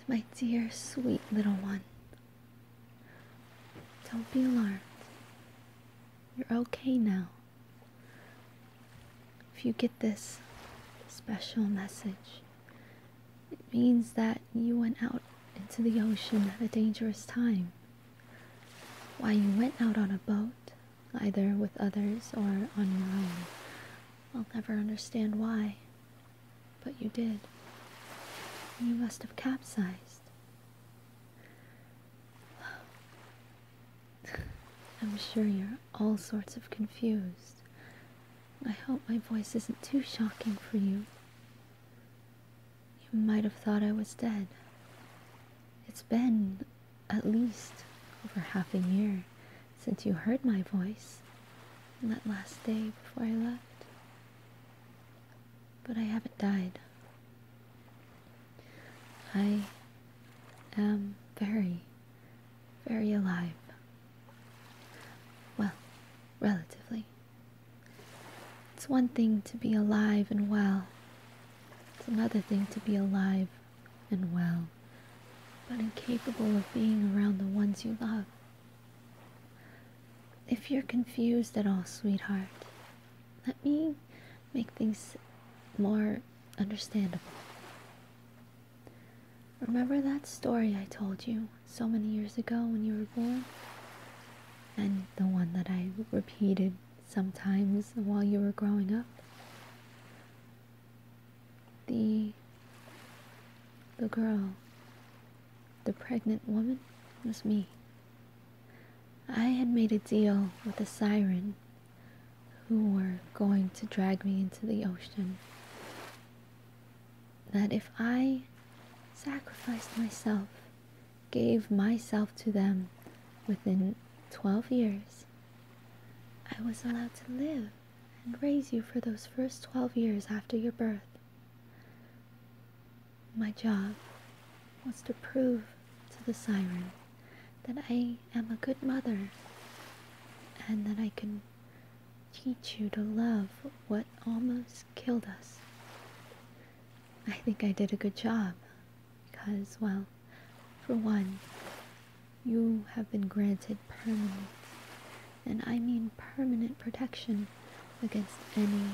To my dear, sweet little one, don't be alarmed. You're okay now. If you get this special message, it means that you went out into the ocean at a dangerous time. Why you went out on a boat, either with others or on your own, I'll never understand why, but you did. You must have capsized. I'm sure you're all sorts of confused. I hope my voice isn't too shocking for you. You might have thought I was dead. It's been at least over half a year since you heard my voice on that last day before I left. But I haven't died. I am very, very alive. Well, relatively. It's one thing to be alive and well, it's another thing to be alive and well, but incapable of being around the ones you love. If you're confused at all, sweetheart, let me make things more understandable. Remember that story I told you so many years ago when you were born? And the one that I repeated sometimes while you were growing up? The the girl, the pregnant woman, was me. I had made a deal with a siren who were going to drag me into the ocean. That if I sacrificed myself, gave myself to them within 12 years, I was allowed to live and raise you for those first 12 years after your birth. My job was to prove to the siren that I am a good mother and that I can teach you to love what almost killed us. I think I did a good job because, well, for one, you have been granted permanent, and I mean permanent protection against any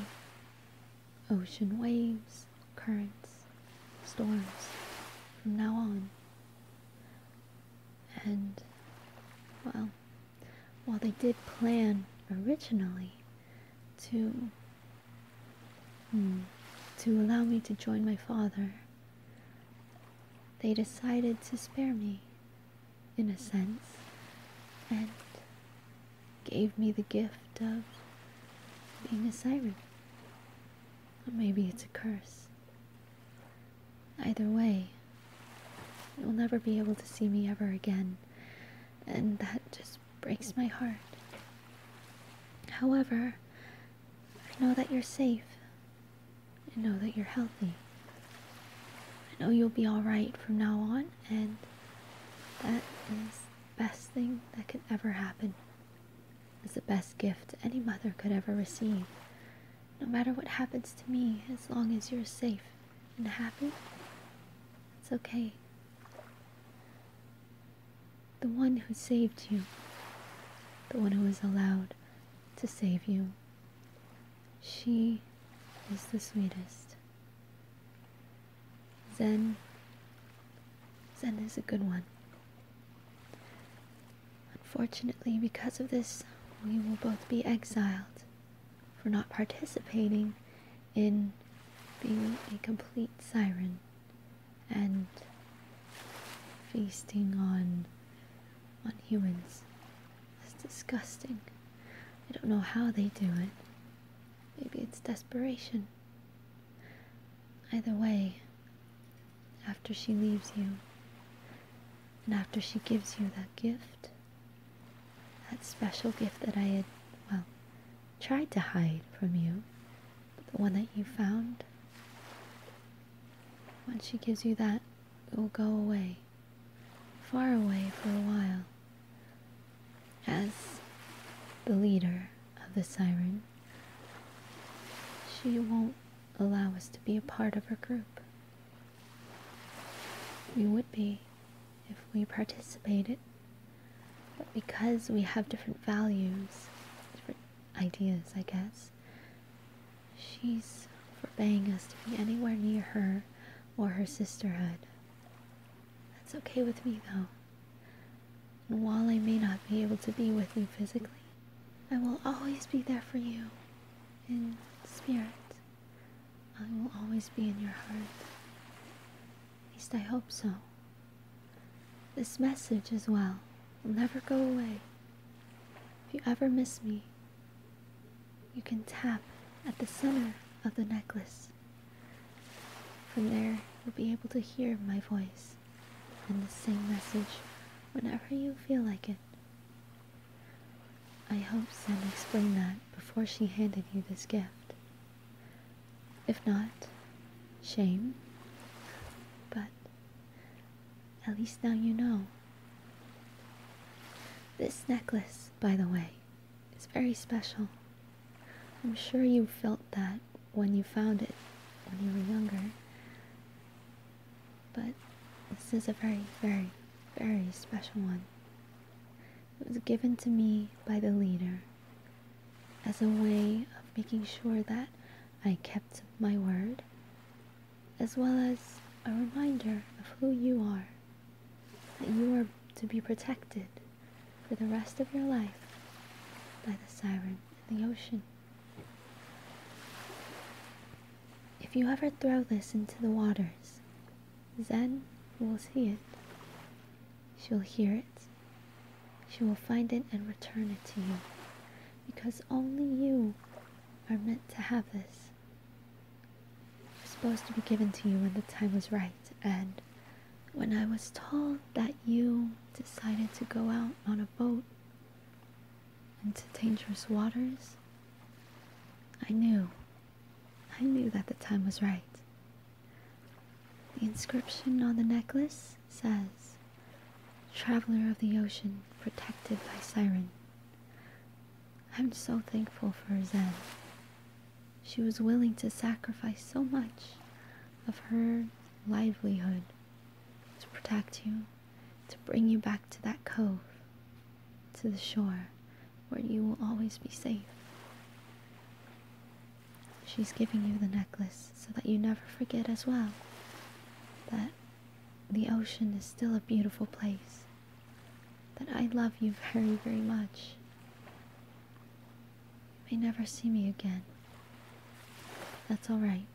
ocean waves, currents, storms from now on. And, well, while they did plan originally to, hmm, to allow me to join my father they decided to spare me, in a sense, and gave me the gift of being a siren. maybe it's a curse. Either way, you'll never be able to see me ever again, and that just breaks my heart. However, I know that you're safe. I know that you're healthy. I know you'll be alright from now on, and that is the best thing that could ever happen. It's the best gift any mother could ever receive. No matter what happens to me, as long as you're safe and happy, it's okay the one who saved you, the one who was allowed to save you. She is the sweetest. Zen, Zen is a good one. Unfortunately, because of this, we will both be exiled for not participating in being a complete siren and feasting on on humans. It's disgusting. I don't know how they do it. Maybe it's desperation. Either way, after she leaves you, and after she gives you that gift, that special gift that I had, well, tried to hide from you, the one that you found, once she gives you that, it will go away, far away for a while. As the leader of the siren, she won't allow us to be a part of her group. We would be if we participated, but because we have different values, different ideas, I guess, She's forbidding us to be anywhere near her or her sisterhood. That's okay with me, though. And while I may not be able to be with you physically, I will always be there for you in spirit. I will always be in your heart. At least I hope so. This message as well will never go away. If you ever miss me, you can tap at the center of the necklace. From there, you'll be able to hear my voice and the same message whenever you feel like it. I hope Sam explained that before she handed you this gift. If not, shame. But at least now you know. This necklace, by the way, is very special. I'm sure you felt that when you found it when you were younger. But this is a very, very, very special one. It was given to me by the leader as a way of making sure that I kept my word, as well as a reminder of who you are, that you are to be protected for the rest of your life by the siren in the ocean. If you ever throw this into the waters, Zen will see it. She will hear it. She will find it and return it to you because only you are meant to have this. It was supposed to be given to you when the time was right, and when I was told that you decided to go out on a boat into dangerous waters, I knew. I knew that the time was right. The inscription on the necklace says, Traveler of the ocean, protected by Siren. I'm so thankful for Zen. She was willing to sacrifice so much of her livelihood to protect you, to bring you back to that cove, to the shore, where you will always be safe. She's giving you the necklace so that you never forget as well that the ocean is still a beautiful place, that I love you very, very much. You may never see me again. That's alright.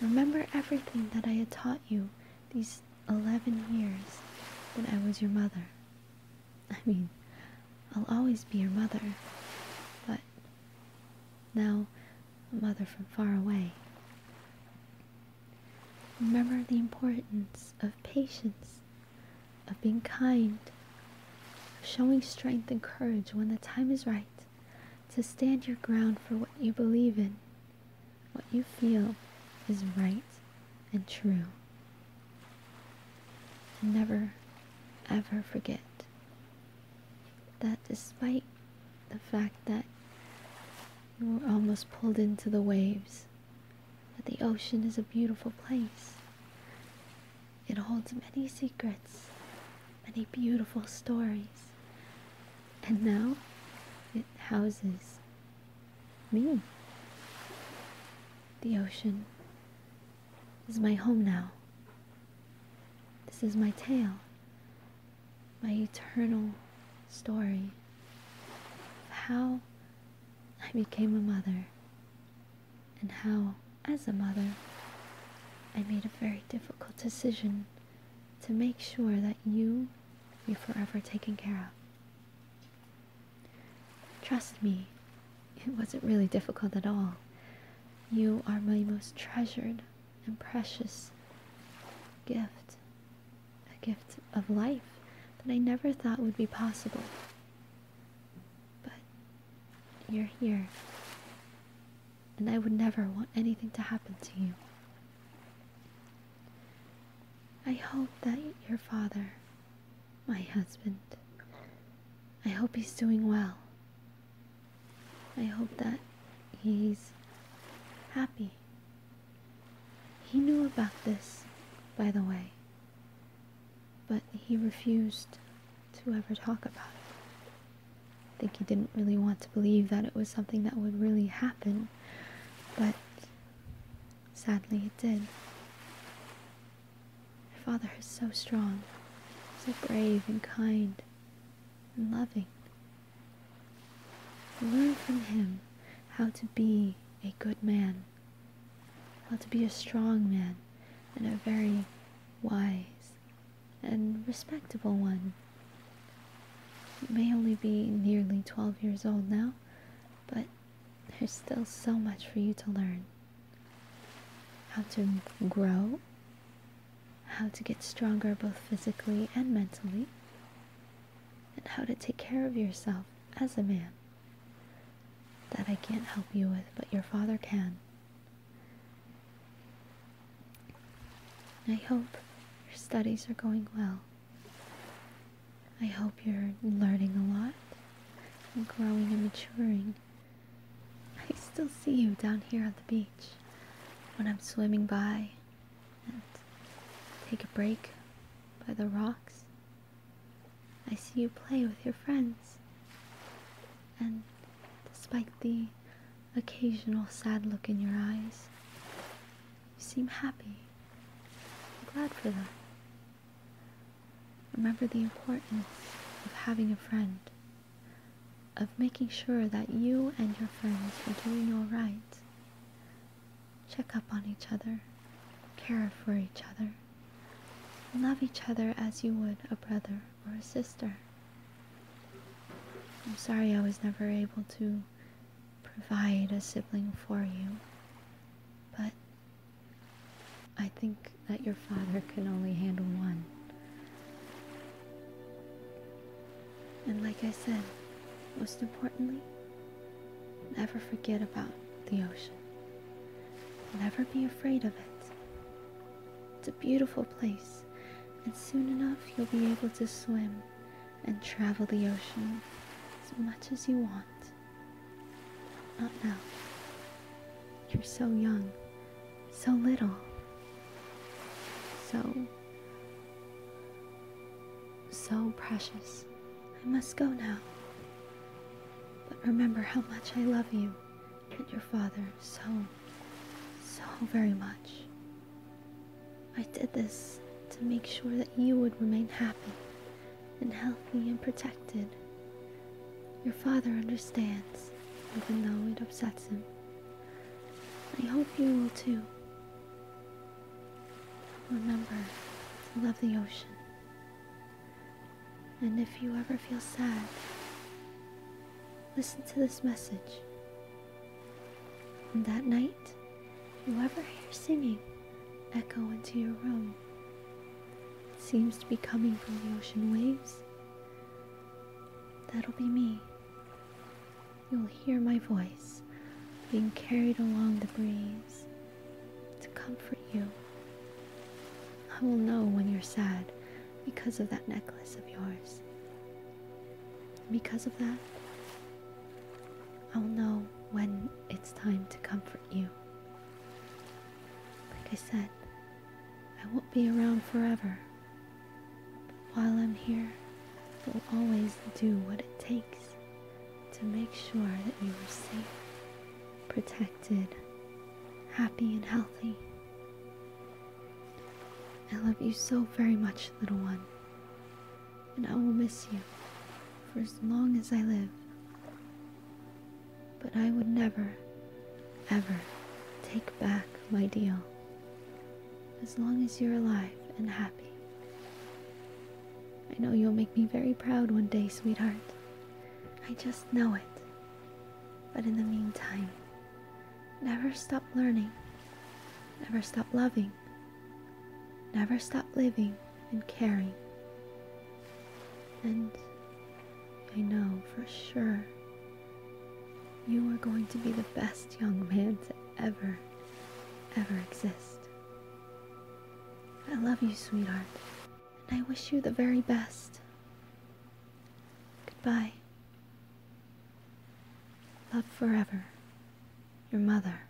Remember everything that I had taught you these 11 years that I was your mother. I mean, I'll always be your mother, but now, mother from far away. Remember the importance of patience, of being kind, of showing strength and courage when the time is right, to stand your ground for what you believe in, what you feel is right and true. And never, ever forget that despite the fact that you were almost pulled into the waves, that the ocean is a beautiful place. It holds many secrets, many beautiful stories. And now it houses me. The ocean is my home now. This is my tale, my eternal story of how I became a mother and how, as a mother, I made a very difficult decision to make sure that you be forever taken care of. Trust me it wasn't really difficult at all. You are my most treasured and precious gift. A gift of life that I never thought would be possible. But you're here. And I would never want anything to happen to you. I hope that your father, my husband, I hope he's doing well. I hope that he's happy. He knew about this, by the way, but he refused to ever talk about it. I think he didn't really want to believe that it was something that would really happen, but sadly it did. Your father is so strong, so brave and kind and loving. Learn from him how to be a good man, how to be a strong man, and a very wise and respectable one. You may only be nearly 12 years old now, but there's still so much for you to learn how to grow, how to get stronger both physically and mentally, and how to take care of yourself as a man. That I can't help you with, but your father can. I hope your studies are going well. I hope you're learning a lot and growing and maturing I still see you down here on the beach when I'm swimming by and take a break by the rocks. I see you play with your friends. And despite the occasional sad look in your eyes, you seem happy. I'm glad for that. Remember the importance of having a friend, of making sure that you and your friends are doing all right. Check up on each other, care for each other, love each other as you would a brother or a sister. I'm sorry I was never able to provide a sibling for you, but I think that your father can only handle one. And like I said, most importantly, never forget about the ocean. Never be afraid of it. It's a beautiful place, and soon enough you'll be able to swim and travel the ocean as much as you want. Not now. You're so young, so little, so, so precious. I must go now. But remember how much I love you and your father so, so very much. I did this to make sure that you would remain happy and healthy and protected. Your father understands, even though it upsets him. I hope you will too. Remember to love the ocean. And if you ever feel sad, listen to this message. And that night, whoever hears singing echo into your room, it seems to be coming from the ocean waves. That'll be me. You'll hear my voice being carried along the breeze to comfort you. I will know when you're sad because of that necklace of yours. Because of that, I'll know when it's time to comfort you. Like I said, I won't be around forever. But while I'm here, I will always do what it takes to make sure that you are safe, protected, happy, and healthy. I love you so very much, little one, and I will miss you for as long as I live but I would never, ever take back my deal as long as you're alive and happy. I know you'll make me very proud one day, sweetheart. I just know it. But in the meantime, never stop learning, never stop loving, never stop living and caring and I know for sure you are going to be the best young man to ever, ever exist. I love you, sweetheart, and I wish you the very best. Goodbye. Love forever, your mother.